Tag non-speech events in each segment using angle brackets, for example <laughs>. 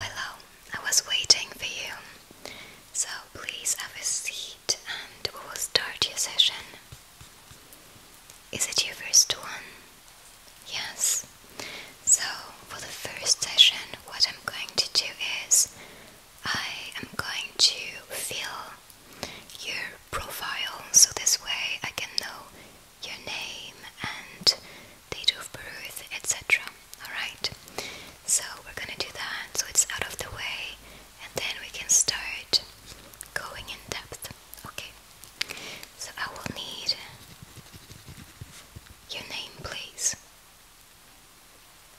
Hello, I was waiting for you. So please have a seat and we will start your session. Is it your first one? Yes. So, for the first session, what I'm going to do is I am going to fill your profile so this way I can know your name and date of birth, etc. Alright, so we're gonna do that so it's out of the way and then we can start going in depth. Okay, so I will need your name, please.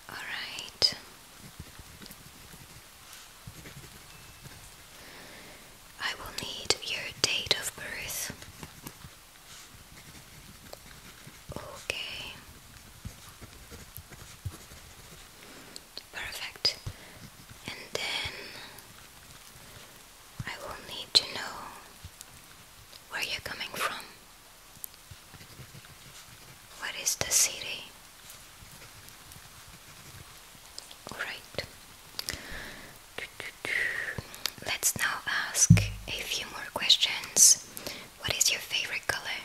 Alright. I will need your date of birth Okay. Perfect. And then I will need to know where you're coming from. What is the city? Alright. Let's now ask a few more questions. What is your favorite color?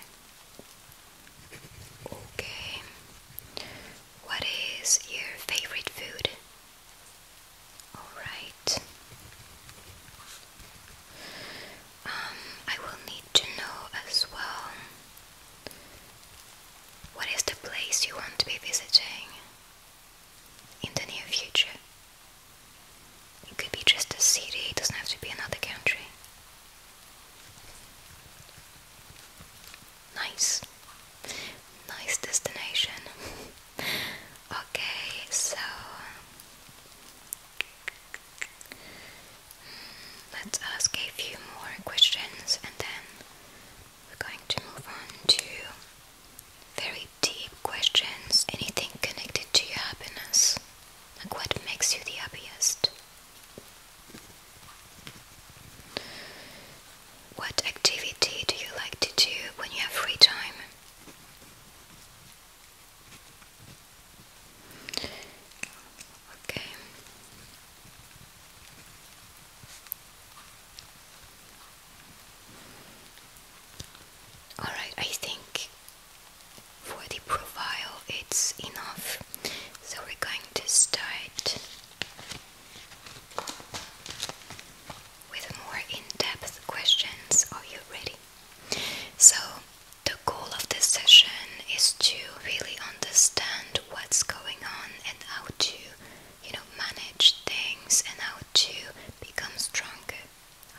Okay. What is your favorite food? Alright. Um, I will need to know as well what is the place you want to be visiting in the near future? It could be just a city, it doesn't have to be another country. Nice. Nice destination. <laughs> okay, so hmm, let's ask a few more questions and then we're going to move on to very deep questions, anything connected to your happiness, like what makes you the happiest. What activity do you like to do when you have free time? Okay. Alright, I think for the profile it's enough. So we're going to start with more in-depth questions. Are you ready? So the goal of this session is to really understand what's going on and how to, you know, manage things and how to become stronger.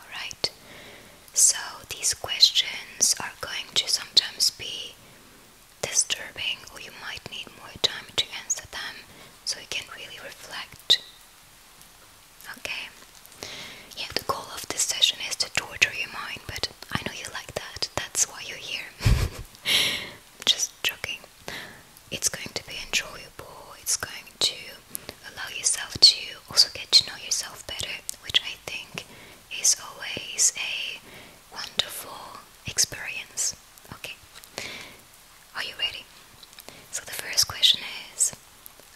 Alright, so these questions are going to sometimes be disturbing, or you might need more time to answer them so you can really reflect. Okay, yeah, the goal of this session is to torture your mind, but I know you like that, that's why you're here. <laughs> Just joking, it's going to be enjoyable, it's going to allow yourself to also get to know yourself better, which I think is always a wonderful experience. Okay, are you ready? So, the first question is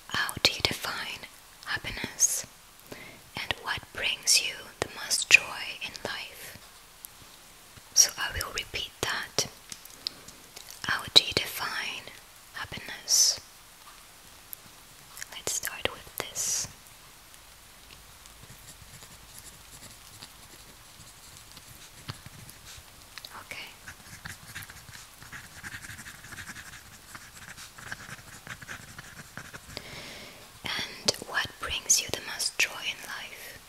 How do you define happiness? And what brings you the most joy in life? So, I will repeat that. How do you define happiness. Let's start with this. Okay. And what brings you the most joy in life?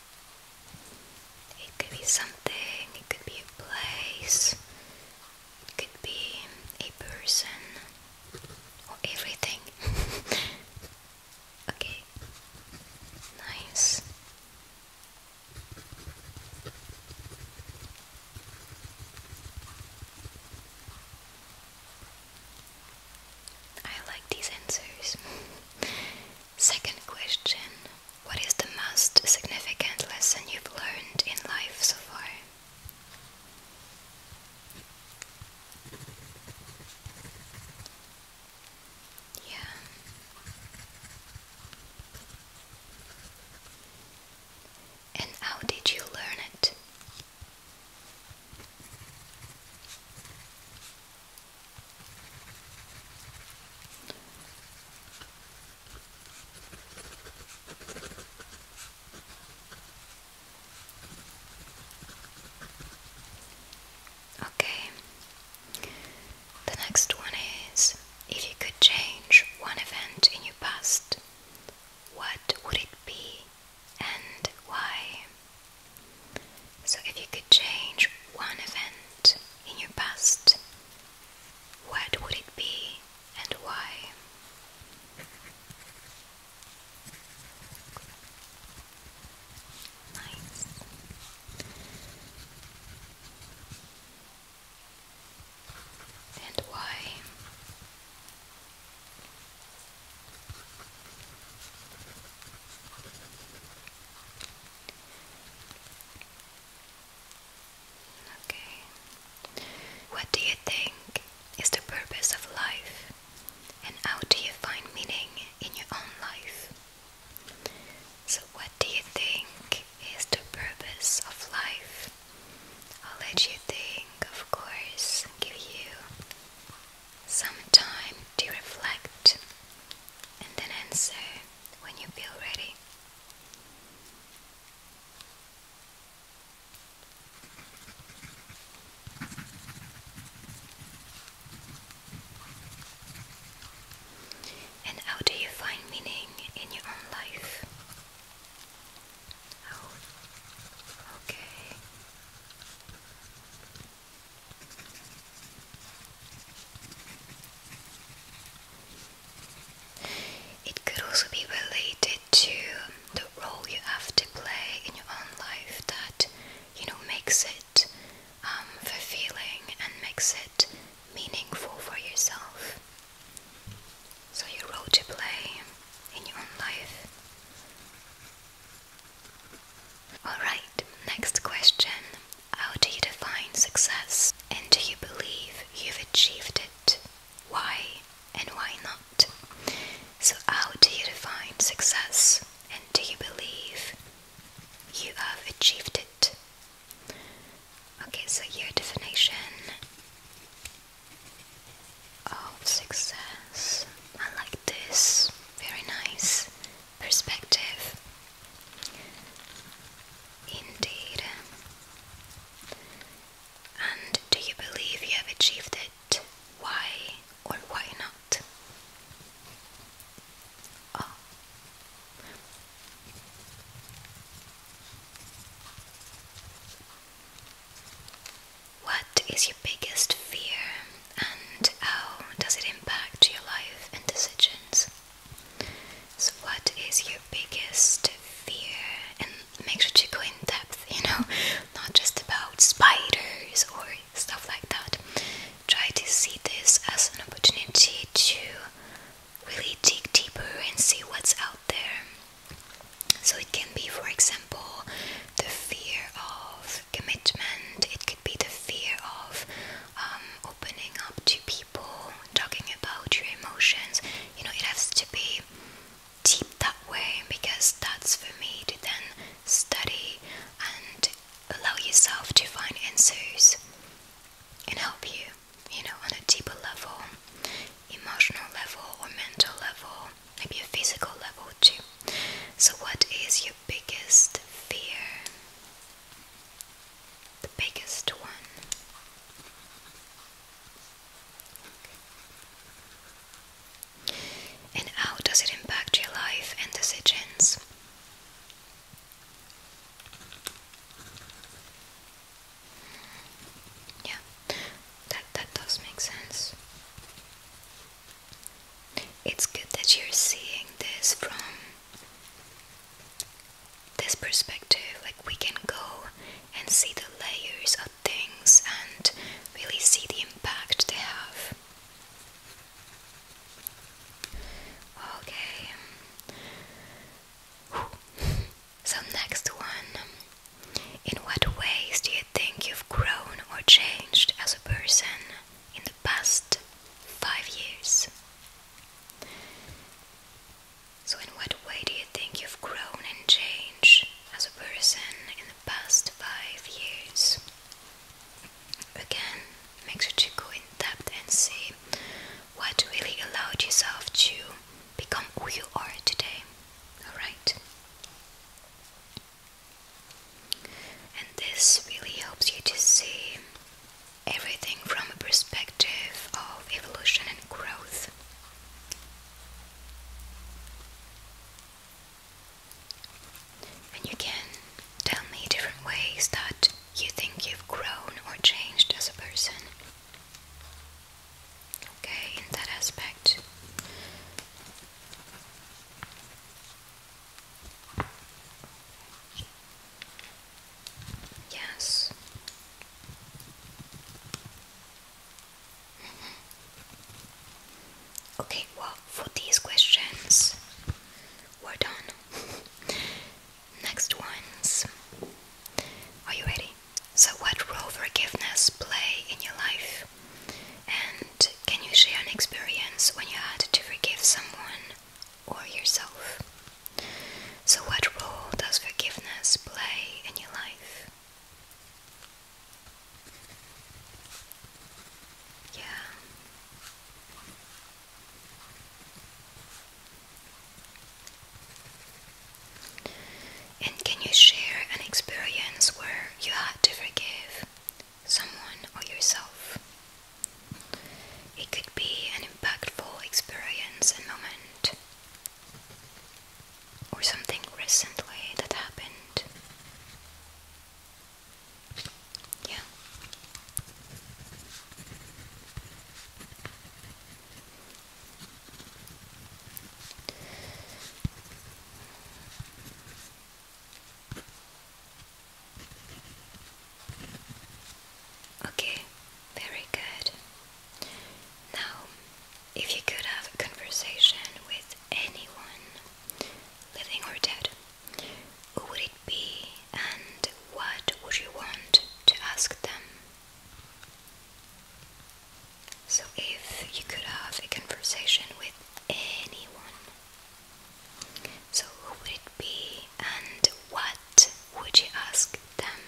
It could be something, it could be a place, it could be a person, or everything. <laughs> okay, nice. I like these answers. <laughs> Second question what is the most significant lesson you've learned in life so far? Yeah. And how did you learn it? Okay. The next one is if you could change one event in your past, what would it be and why? So, if you could change one event in your past, what would it be and why? Nice. And why? Okay. What do you think is the purpose of life? And how do you find meaning in your own life? So, what do you think is the purpose of life? I'll let you think, of course, give you some time to reflect and then answer when you feel ready. And how do you find meaning in your own life? Oh, okay. It could also be related to the role you have to play in your own life that you know makes it um, fulfilling and makes it meaningful for yourself. So your role to play in your own life. Alright, next question. How do you define success? And do you believe you've achieved it? Why and why not? So, how do you define success? And do you believe you have achieved it? Okay, so your definition of success. I like this. Very nice perspective. Indeed. And do you believe you have achieved it? Why or why not? Ah. What is your biggest fear and how does it impact your life and decisions? So, what is your biggest fear? And make sure to go in depth, you know, <laughs> not just about spiders or stuff like that. Try to see this as an opportunity to really dig deeper and see what's out there. So, it can be, for example, the fear of commitment, it could be the fear of um, opening up to people, talking about your emotions, you know, it has to be deep that way because that's for me to then study and allow yourself to find answers and help you, you know, on a deeper level, emotional level or mental level, maybe a physical level too. So, what is your biggest fear? the biggest one. And how does it impact your life and decisions? Yeah, that that does make sense. It's good that you're seeing this from this perspective, like we can go and see the layers of things and really see the impact they have. Okay. <laughs> So, next one. In what ways do you think you've grown or changed as a person in the past five years? So, in what way do you think you've grown and changed as a person in the past five years? Again, make sure to go in depth and see what really allowed yourself to become who you are today. Alright? And this really helps you to see everything from a perspective of evolution and growth. And you can tell me different ways that you think you've grown or changed as a person. Okay, in that aspect. Yes. Mm-hmm. Okay, well, for these questions, we're done. <laughs> Next ones. Are you ready? So, what role forgiveness play in your life? And can you share an experience when you had to forgive someone or yourself. So, what role does forgiveness play in your life? Yeah. And can you share an experience where you had to forgive someone or yourself? It could be an impactful experience and moment, or something recently that happened. Yeah. Okay, very good. Now, if you could have a conversation with anyone, living or dead, who would it be and what would you want to ask them? So, if you could have a conversation with anyone, so, who would it be and what would you ask them?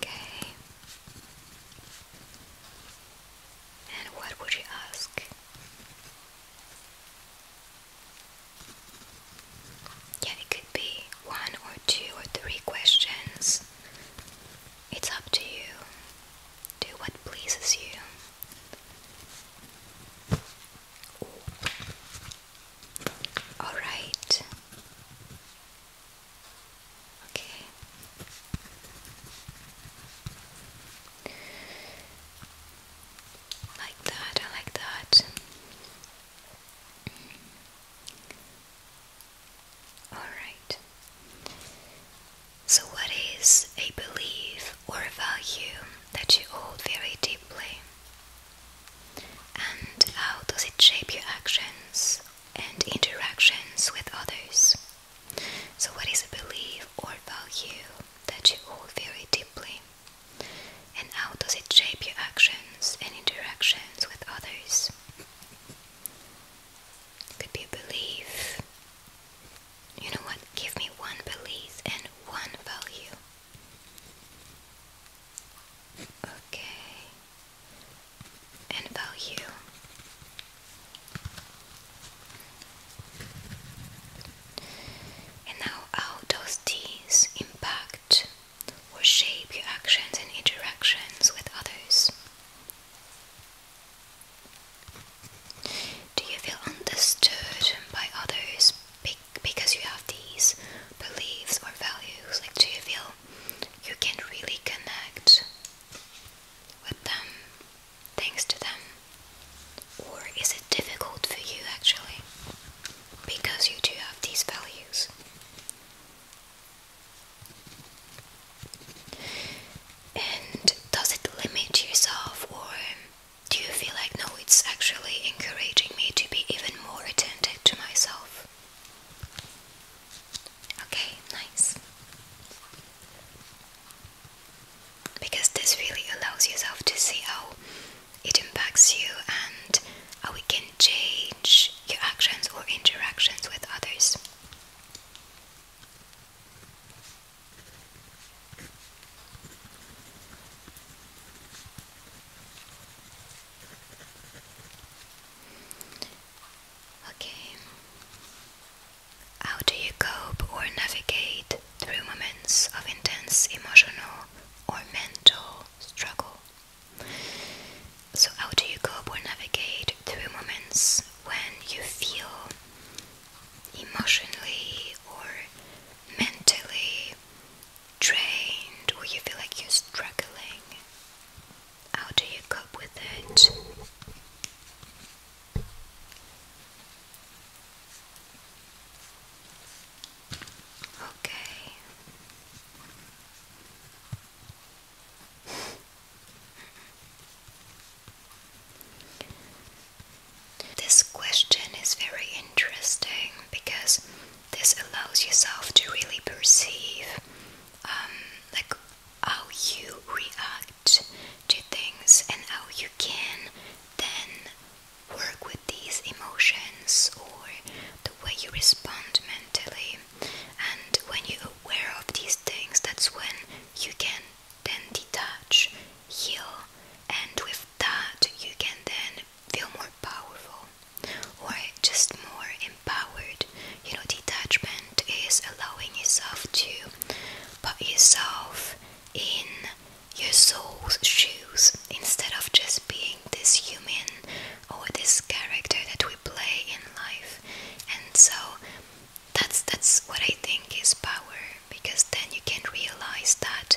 Okay. And what would you ask? Yeah, it could be one or two or three questions. It's up to you. Do what pleases you. All right. Okay. Like that, I like that. All right. So, what is a belief or a value that you hold very deeply? And how does it shape your actions and interactions with others? So, what is a belief or a value that you hold very deeply? And how does it shape your actions and interactions with others? could be a belief, you know what? Give me one belief and one value. Okay. And value. And now how does these impact or shape your actions and interactions with others? Do you feel understood by others because you have these beliefs or values? Like, do you feel you can really connect with them, thanks to them? Or is it difficult for you actually because you do have these values? And does it limit yourself, or do you feel like no, it's actually encouraging me to be even more attentive to myself? Okay, nice. Because this really allows yourself to see how it impacts you and how we can change your actions or interactions with others. Okay. How do you cope or navigate through moments of intense emotional or mental struggle? So, how do you cope or navigate through moments when you feel emotionally or mentally drained or you feel like you're struggling? How do you cope with it? Okay. This question is very interesting because this allows yourself to really perceive um, like how you react to things and how you can then work with these emotions or the way you respond mentally. And when you're aware of these things, that's when you can then detach, heal, and with that you can then feel more powerful or just more empowered. You know, detachment is allowing yourself to put yourself in your soul's shoes instead of just being this human or this character that we play in life. And so that's that's what I think is power because then you can realize that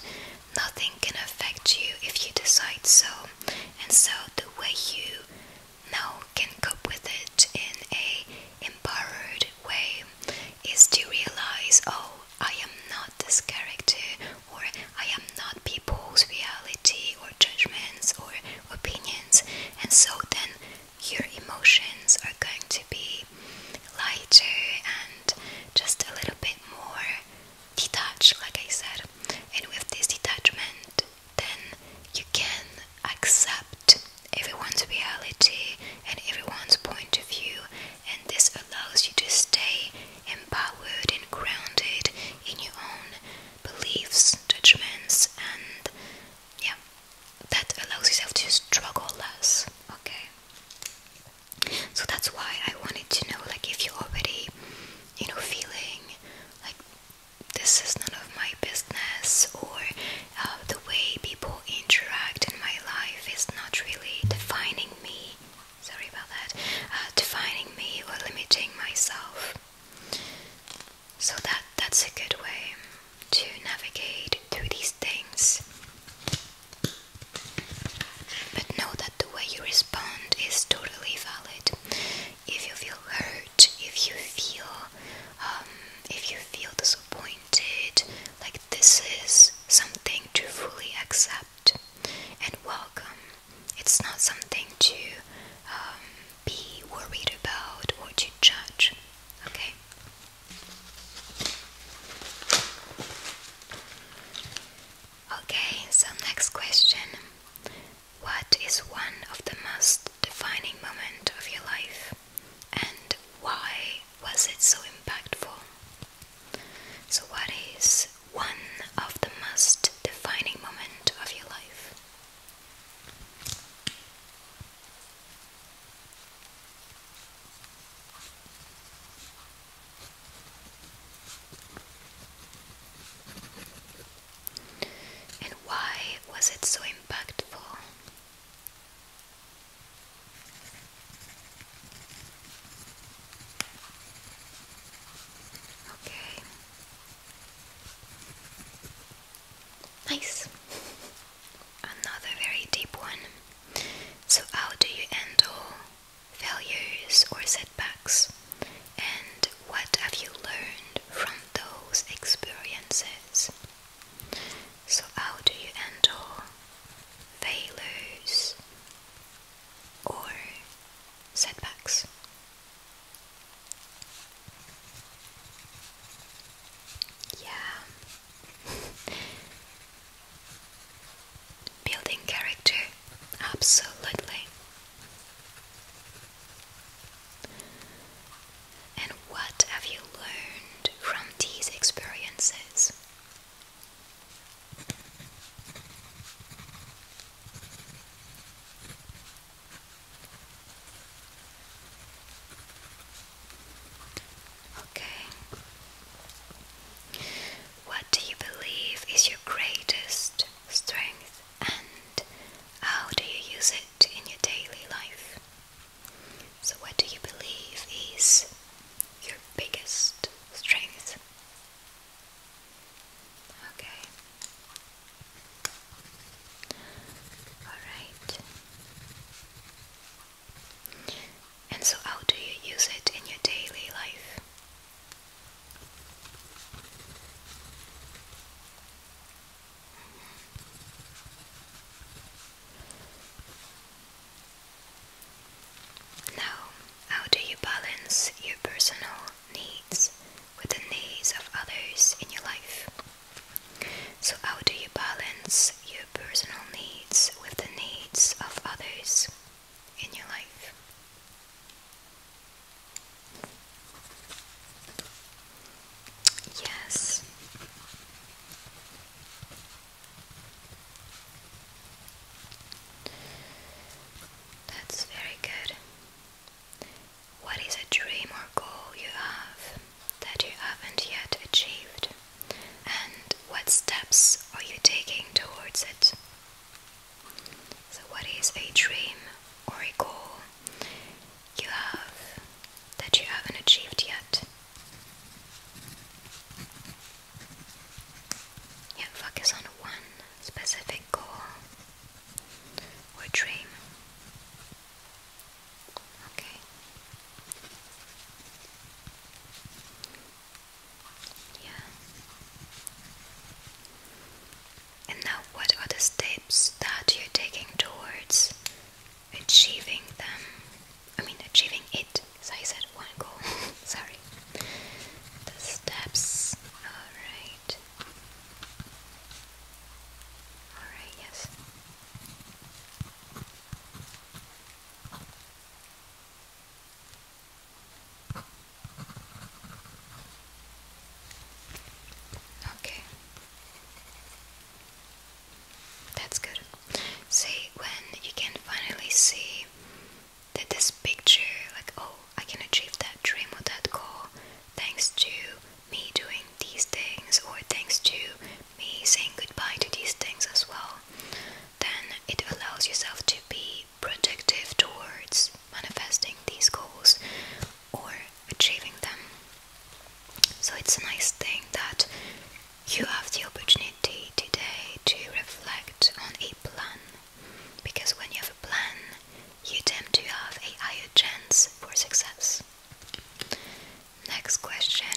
nothing can affect you if you decide so and so the way you now can cope with it in a empowered way is to realize oh I am not this character or I am not people's reality or judgments or opinions and so then your emotions are going to be lighter and just a little bit more detached, like I said. And with this detachment, then you can accept everyone's reality and everyone's point of view, and this allows you to stay empowered and grounded in your own beliefs, judgments, and yeah, that allows yourself to struggle less. Okay, so that's why I wanted to know, like, if you're already, you know, feeling like this is none of my business, or uh, the way people interact in my life is not really defining me. Sorry about that. Uh, defining me or limiting myself. So that that's a good way to navigate through these things. But know that the way you respond is totally valid. If you feel hurt, if you feel, um, if you feel disappointed, like this is something to fully accept and welcome. It's not something to um, be worried about or to judge. Okay? Okay, so next question. What is one of the most defining moment of your life and why was it so impactful? So what is one of the most defining moment of your life? And why was it so impactful? Okay. Nice. Another very deep one. So, how do you handle failures or setbacks? And what have you learned from those experiences? So, how do you handle failures or setbacks? Yeah. <laughs> Building character, absolutely. And what have you learned from these experiences? Okay. What do you believe is your greatest strength and how do you use it in your daily life? So, what do you believe is your biggest strength? Okay. Alright. And so, how do you use it in your daily life? Now, how do you balance your personal needs with the needs of others in your life. So, how do you balance your personal needs with the needs of others in your life? Yes. That's very good. What is a dream or goal you have that you haven't yet achieved? And what steps are you taking towards it? So, what is a dream or a goal you have that you haven't achieved yet? Yeah, focus on one specific goal or dream. Okay. Yeah. And now, what are the steps that you're taking towards achieving them? I mean, achieving it. So I said one goal. <laughs> Sorry. The steps. Alright. Alright, yes. Okay. That's good. See, when you can finally see that this picture, like, oh, I can achieve that dream or that goal thanks to me doing these things or thanks to me saying goodbye to these things as well, then it allows yourself to be productive towards manifesting these goals or achieving them. So it's a nice thing that you have the opportunity today to reflect on a plan because when you have a plan, you tend to have a higher chance for success. Next question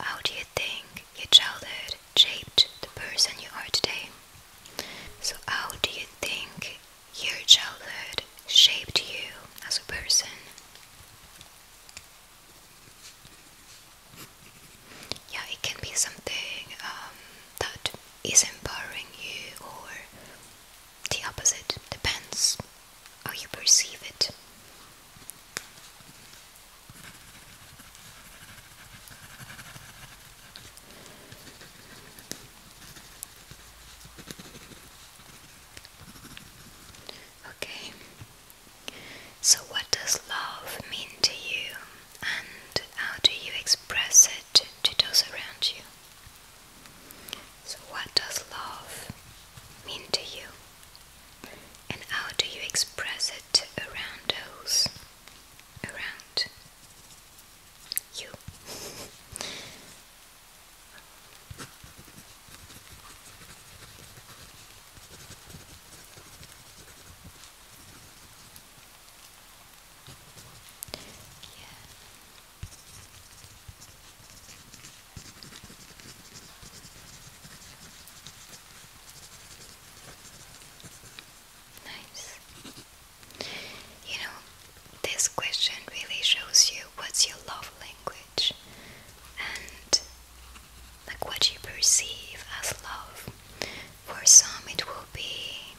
How do you think your childhood shaped the person you are today? So, how do you think your childhood shaped you as a person? Yeah, it can be something um, that is empowering you or the opposite depends how you perceive it. Okay, so what does love mean to you, and how do you express it to those around you? So, what does love mean to you? And how do you express it around those around you? <laughs> yeah. Nice. You know, this question really shows you what's your love language and like what you perceive as love. For some, it will be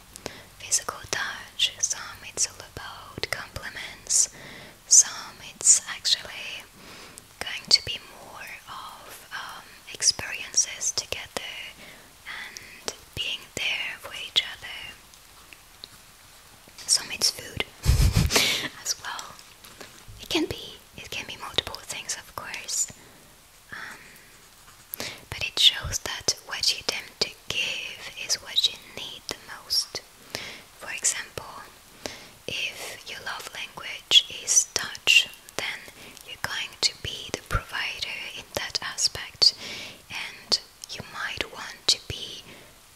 Physical touch, some it's all about compliments, some it's actually going to be more of um, experiences together and being there for each other. Some it's food <laughs> as well. It can be, it can be multiple things, of course. Um, but it shows that what you attempt to give is what you need the most. For example, if your love language is touch, then you're going to be the provider in that aspect, and you might want to be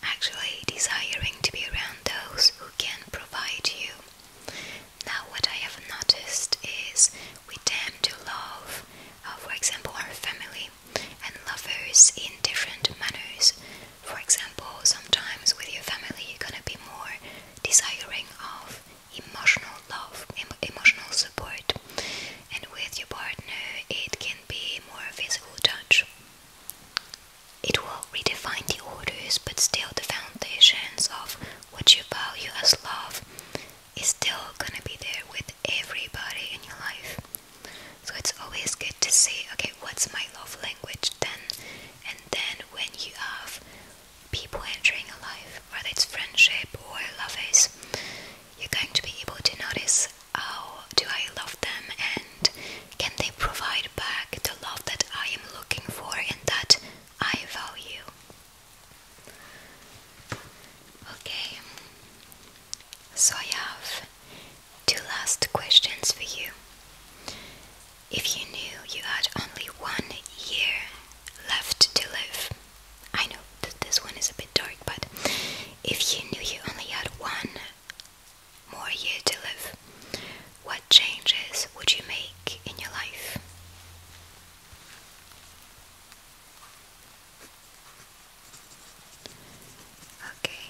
actually desiring to be around those who can provide you. Now, what I have noticed is we tend to love, uh, for example, our family, and lovers in different manners. For example, sometimes with your family you're gonna be more desiring of emotional love, emotional support, and with your partner it can be more physical touch. It will redefine the orders, but still the foundations of what you value as love is still gonna be there with everybody in your life. So it's always good to see, okay, what's my love language then? And then when you have people entering a life, whether it's friendship or love, is you're going to be able to notice how do I love them and can they provide back the love that I am looking for and that I value. Okay, so I have two last questions for you. If you knew you had only one year left to live, I know that this one is a bit dark, but if you knew you only had one more year to live, what changes would you make in your life? Okay.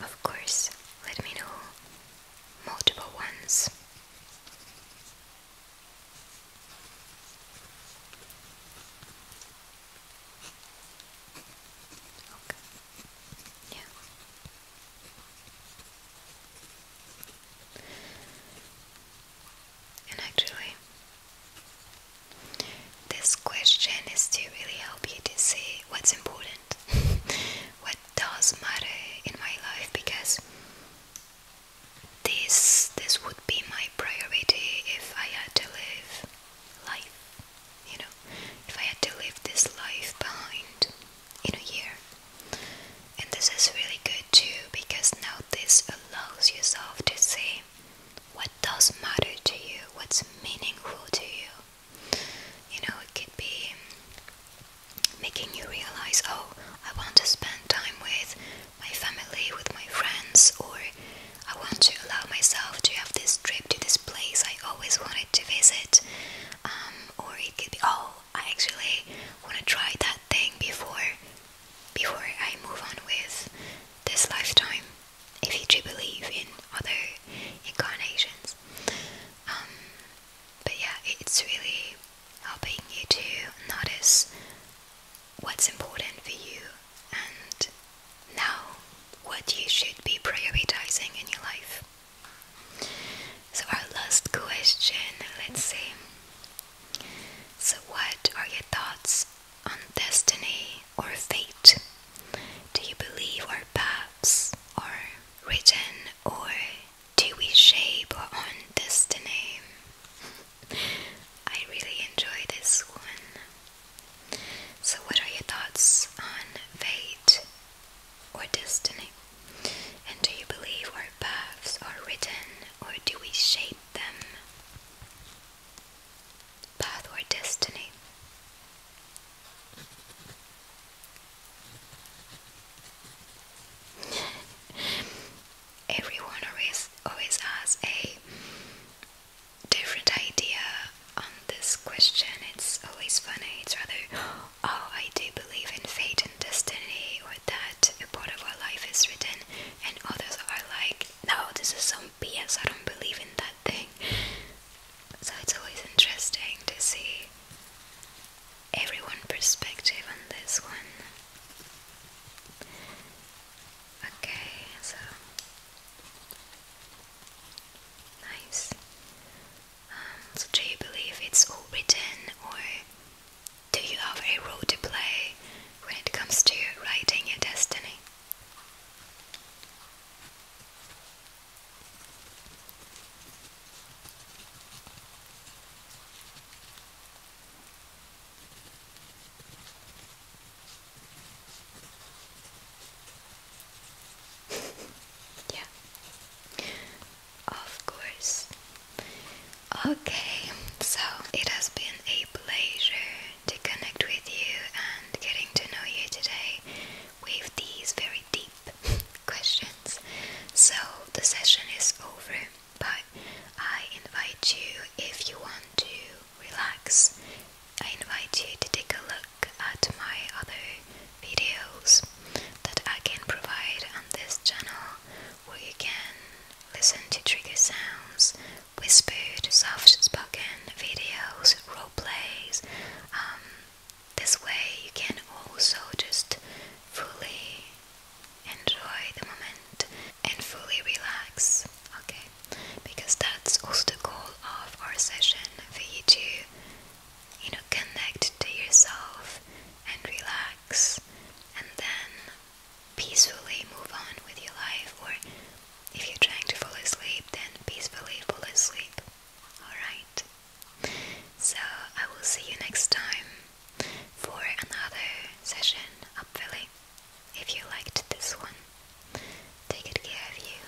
Of course, let me know multiple ones. Okay. Yeah. And actually, this question is to really help you to see what's important, <laughs> what does matter in my life, because this this would be my priority if I had to live life, you know, if I had to live this life behind in a year. And this is really good too because now this allows yourself to see what does matter to you, what's meaningful to you. You know, it could be making you realize, oh, I want to spend time with my family, with my friends, or I want to allow myself to have this trip to this place I always wanted to visit. Um, or it could be, oh, I actually want to try that thing before before I move on with this lifetime, if you do believe in other incarnations, um, but yeah, it's really helping you to notice what's important for you and now what you should be prioritizing in your life. So, our last question, let's see. So, what are your thoughts on destiny or fate? Do you believe our paths are written or do we shape our destiny? I really enjoy this one. So, what are your thoughts on fate or destiny? And do you believe or paths or written or do we shape? them. Path or destiny. <laughs> Everyone always always has a different idea on this question. It's always funny. It's rather, <gasps> oh, I do believe in fate and destiny, or that a part of our life is written and others are like, no, this is some BS, I don't believe in that thing. So it's always interesting to see everyone's perspective on this one. Okay, so nice. Um, so do you believe it's all written or do you have a role to play when it comes to writing your destiny? <laughs> yeah, of course, Okay, so it has been a pleasure to connect with you and getting to know you today with these very deep <laughs> questions. So the session is over, but I invite you if you want to relax. I invite you to take a look at my other videos that I can provide on this channel where you can listen to trigger sounds, whispered, soft spoken videos, role plays. Um, this way, you can also just fully enjoy the moment and fully relax. Okay, because that's also the goal of our session for you to, you know, connect to yourself and relax, and then peacefully move on with your life, or if you're trying to fall asleep, then peacefully fall asleep. Alright? So, I will see you next time for another session up If you liked this one, take good care of you.